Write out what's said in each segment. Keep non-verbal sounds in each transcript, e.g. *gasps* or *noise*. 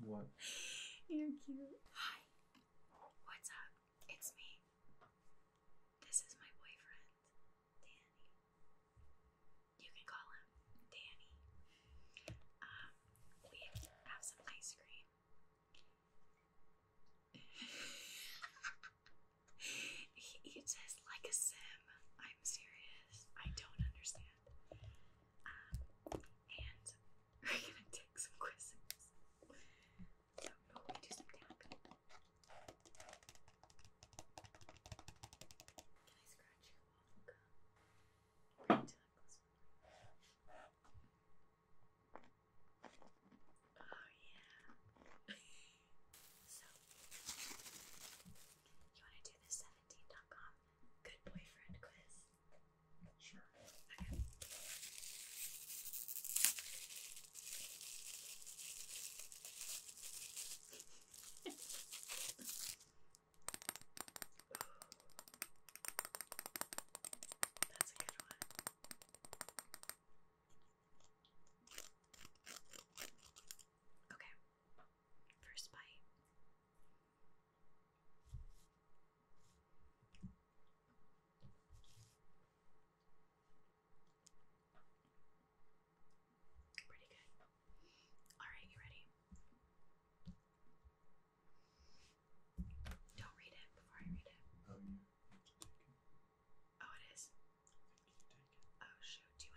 What? You're cute. Hi. What's up? It's me. This is my boyfriend, Danny. You can call him Danny. Um, we have some ice cream he eats his like a sim. I'm serious. I don't understand. Um, and we're gonna take some quizzes. So oh, we do some tapping. Can I scratch your waffle gum? Right to close. Oh yeah. *laughs* so you want to do the 17.com good boyfriend quiz? Sure. Okay. That's a good one. Okay. First bite. Pretty good. Alright, you ready? Don't read it before I read it. Oh, yeah. Oh, it is? Oh, you Yeah.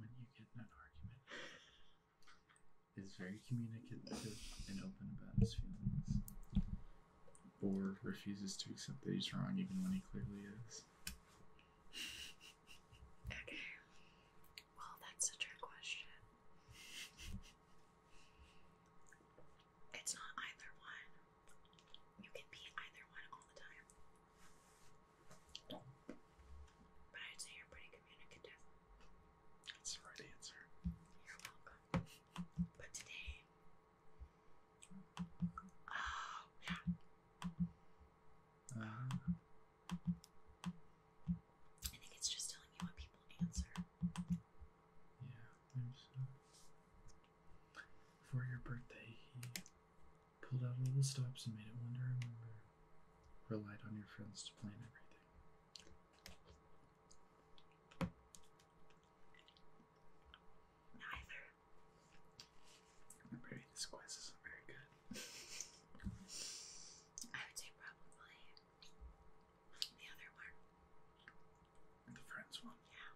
When you get in an argument, is very communicative and open about his feelings, or refuses to accept that he's wrong even when he clearly is. Okay. Well, that's a trick question. It's not either one. You can be either one all the time. But I'd say you're pretty communicative. That's the right answer. You're welcome. But today. Oh, I think it's just telling you what people answer. Yeah, there's. Uh, for your birthday, he pulled out all the stops and made it one to remember. Relied on your friends to plan everything. Neither. Maybe this quest isn't very good. I would say probably the other one. The friends one? Yeah.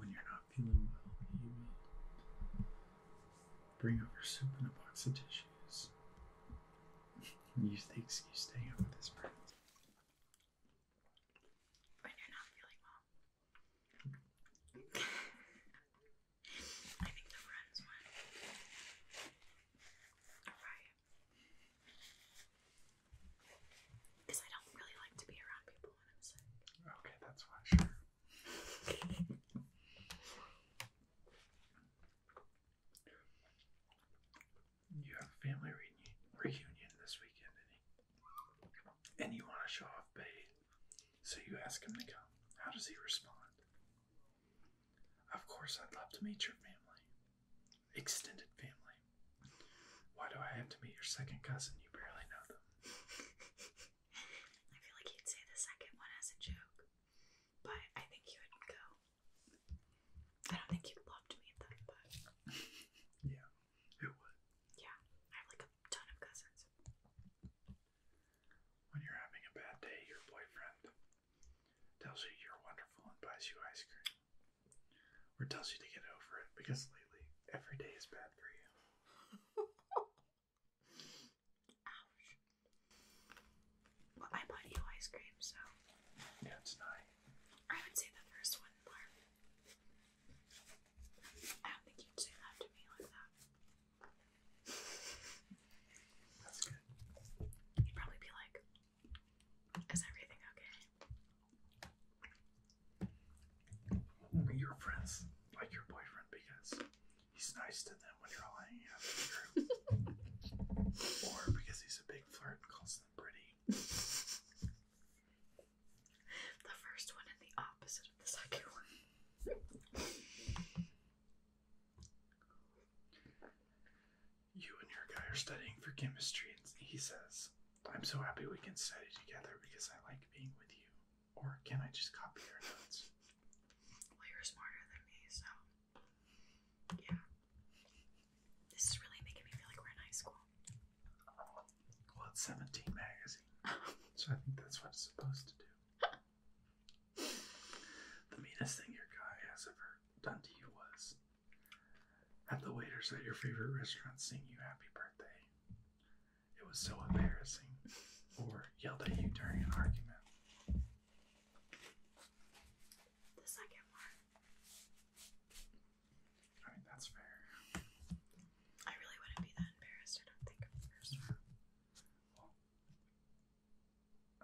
when you're not feeling well, you will bring over soup and a box of tissues. and use the excuse with his friends when you're not feeling well. I think the friends one. Right. Because I don't really like to be around people when I'm sick. Okay, that's why, sure. *laughs* You have a family reunion, this weekend, any? and you want to show off Bade, so you ask him to come. How does he respond? Of course, I'd love to meet your family, extended family. Why do I have to meet your second cousin? You barely know them. I feel like you'd say the second one as a joke, but I think you would go. I don't think you'd love to meet them, *laughs* yeah, it would. Yeah, I have like a ton of cousins. When you're having a bad day, your boyfriend tells you you're wonderful and buys you ice cream. Or tells you to get over it because lately every day is bad for you. Ouch. *laughs* Well, I bought you ice cream, so. Yeah, it's not. I would say the first one more. I don't think you'd say that to me like that. That's good. You'd probably be like, is everything okay? Your friends like your boyfriend because he's nice to them when you're all hanging out in *laughs* or because he's a big flirt and calls them pretty. The first one and the opposite of the second one. You and your guy are studying for chemistry, and he says, I'm so happy we can study together because I like being with you. Or can I just copy your notes? Well, you're smarter than me, so. Yeah. This is really making me feel like we're in high school. Well, it's 17 magazine, so I think that's what it's supposed to do. the meanest thing your guy has ever done to you was have the waiters at your favorite restaurant sing you happy birthday. It was so embarrassing, or yelled at you during an argument. The second one. All right, that's fair. I really wouldn't be that embarrassed. I don't think of the first one.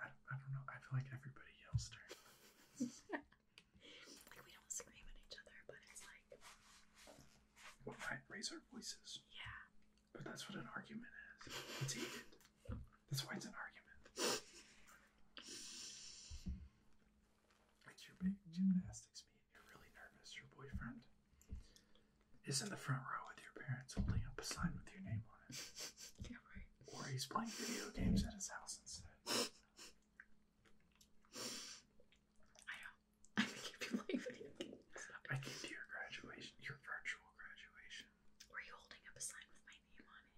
I, I don't know. I feel like everybody yells during Like we don't scream at each other, but it's like. Well, raise our voices. Yeah. But that's what an argument is. It's heated. That's why it's an argument. It's your big gymnastics meet. You're really nervous. Your boyfriend is in the front row with your parents holding up a sign with your name on it. *laughs* yeah, right. Or he's playing video games at his house instead. *laughs* I know. *laughs* I think you'd be playing video games. I came to your graduation, your virtual graduation. Were you holding up a sign with my name on it?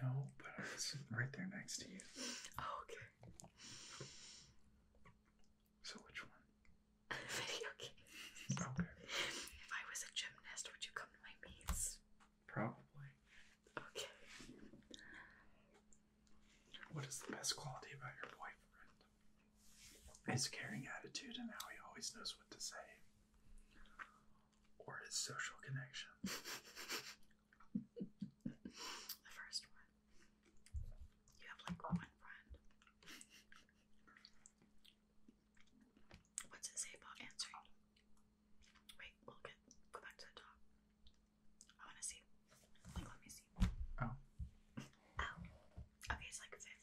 No, but I was right there next to you. Oh, okay. So which one? Video games. *laughs* Okay. If I was a gymnast, would you come to my meets? Probably. Okay. What is the best quality about your boyfriend? His caring attitude and how he always knows what to say. Or his social connection. *laughs* the first one. You have like one friend. What's it say about answering? Wait, we'll get go back to the top. I wanna see. Like let me see. Oh. Oh. Okay, it's like 50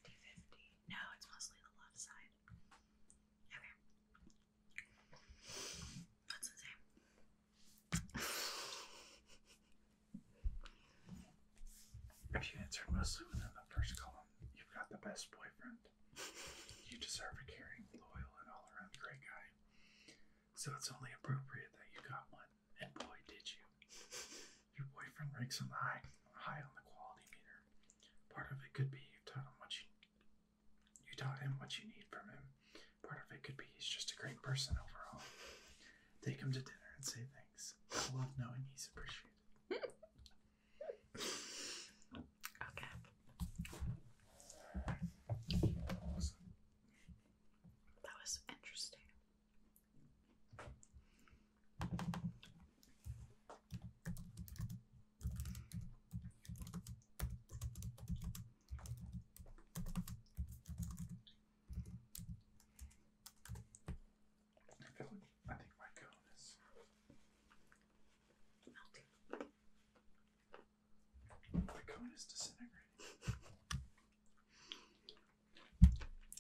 No, it's mostly the left side. Okay. If you answered mostly within the first column, you've got the best boyfriend. You deserve a caring, loyal, and all around great guy. So it's only appropriate that you got one, and boy, did you. Your boyfriend ranks on the high, high on the quality meter. Part of it could be you've taught him what you taught him what you need from him. Part of it could be he's just a great person overall. Take him to dinner and say thanks. I love knowing he's appreciated. okay. That was interesting. I think my cone is melting. My cone is disintegrating.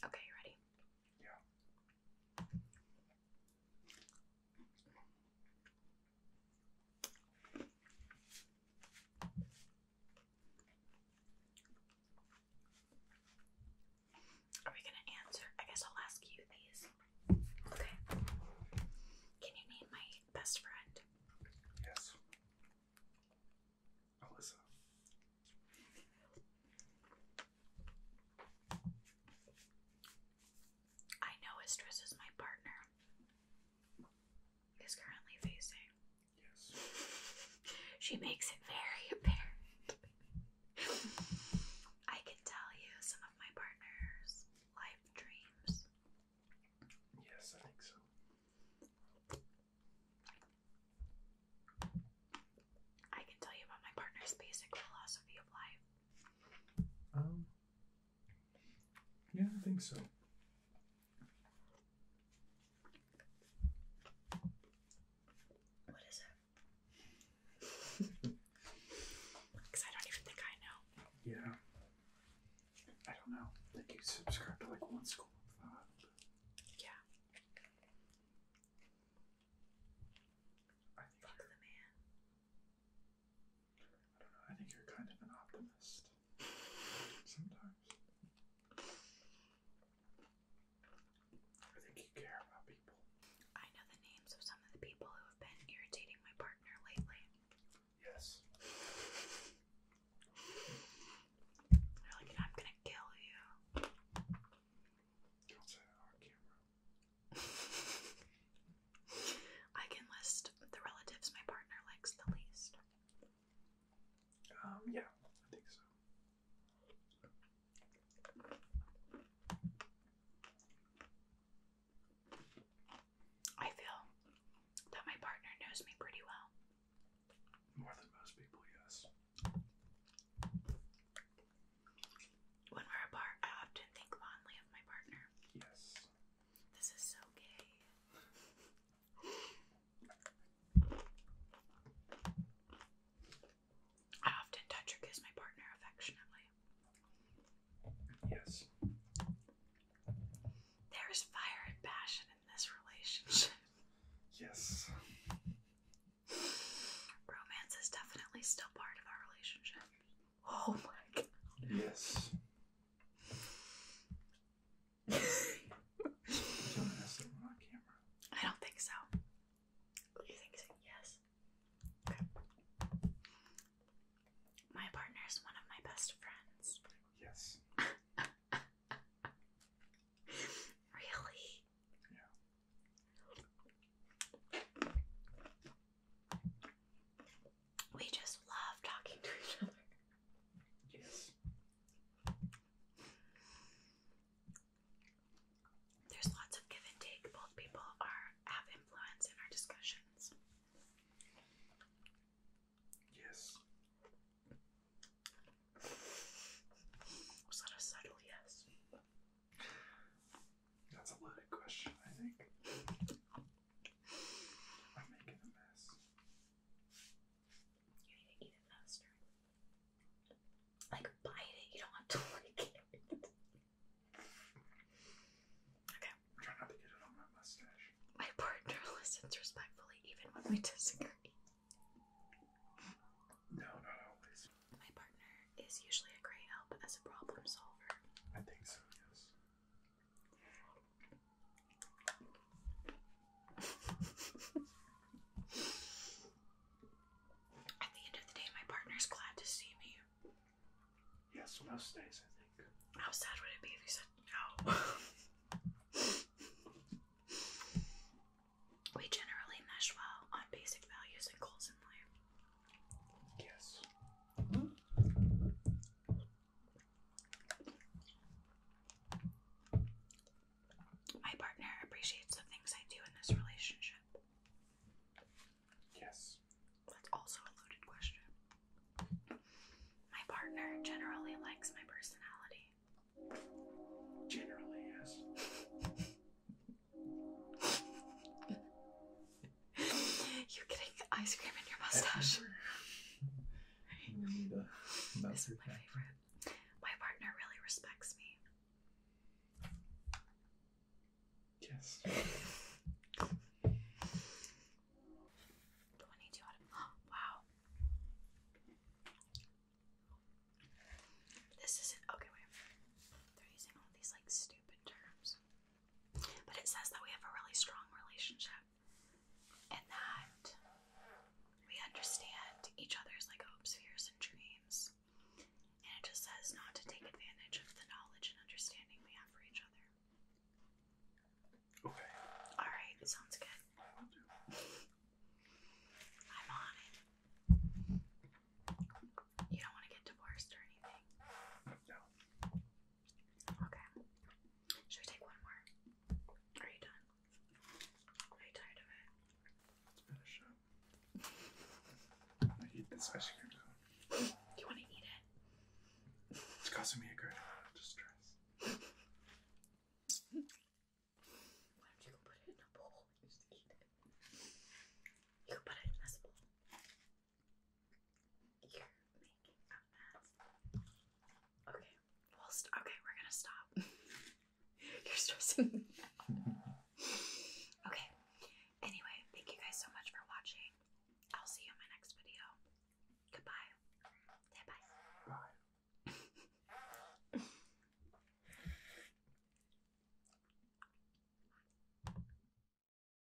Okay, ready? Yeah. Are we gonna answer? I guess I'll ask you these. Okay. Can you name my best friend? Yes. Alyssa. I know Estrus is my partner, is currently facing. Yes. *laughs* She makes it very apparent. I can tell you some of my partner's life dreams. Yes, I think so. I can tell you about my partner's basic philosophy of life. Um, yeah, I think so. What is it? Because *laughs* I don't even think I know. Yeah. I don't know. I think you subscribe to like one school of thought. Yeah. I Fuck the man. I don't know, I think you're kind of an optimist sometimes. I think you care about people. I know the names of some of the people who have been irritating my partner lately. Yes. They're like, I'm gonna kill you. Don't say that on camera. *laughs* I can list the relatives my partner likes the least. Um, yeah, I think so. I feel that my partner knows me pretty well. More than most people, yes. When we're apart, I often think fondly of my partner. Yes. This is so gay. I often touch or kiss my partner affectionately. Yes. There is fire and passion in this relationship. Yes. Romance is definitely still part of our relationship. Oh my god. Yes. Someone has to on camera. I don't think so. You think so? Yes. My partner is one of my best friends. Yes. *laughs* really? Yeah. We just love talking to each other. Yes. There's lots of give and take. Both people are have influence in our discussions. Yes. Was that a subtle yes? That's a loaded question, I think. I'm making a mess. You need to eat it faster. Like bite it. You don't have to *laughs* like it. okay. I'm trying not to get it on my mustache. My partner *laughs* listens respectfully even when we disagree. No, not always. My partner is usually a great help as a problem solver. I think so, yes. At the end of the day, my partner's glad to see me. Yes, most days, I think. How sad would it be if you said no? we generally mesh well on basic values and goals in life. Yes. My partner appreciates the things I do in this relationship. Yes. That's also a loaded question. My partner generally likes my personality. Generally, yes. *laughs* *laughs* you getting ice cream in your mustache. We need a That's my favorite. My partner really respects me. Yes. *laughs* 22 out of. *gasps* wow. This isn't. Okay, wait. They're using all these like stupid terms. But it says that we have a really strong relationship and that we understand each other's like hopes, fears, and dreams. And it just says not to take advantage of the knowledge and understanding we have for each other. Okay. Alright, sounds good. *laughs* I'm on it. You don't want to get divorced or anything. No. Okay. Should we take one more? Are you done? Are you tired of it? Finish oh, *laughs* I eat this ice cream now. You want to eat it? It's causing me a great amount of distress. Why don't you go put it in a bowl just eat it? You can put it in this bowl. Okay, we'll st okay, we're gonna stop. *laughs* You're stressing Okay. Anyway, thank you guys so much for watching. I'll see you in my next video. Goodbye. Bye. *laughs*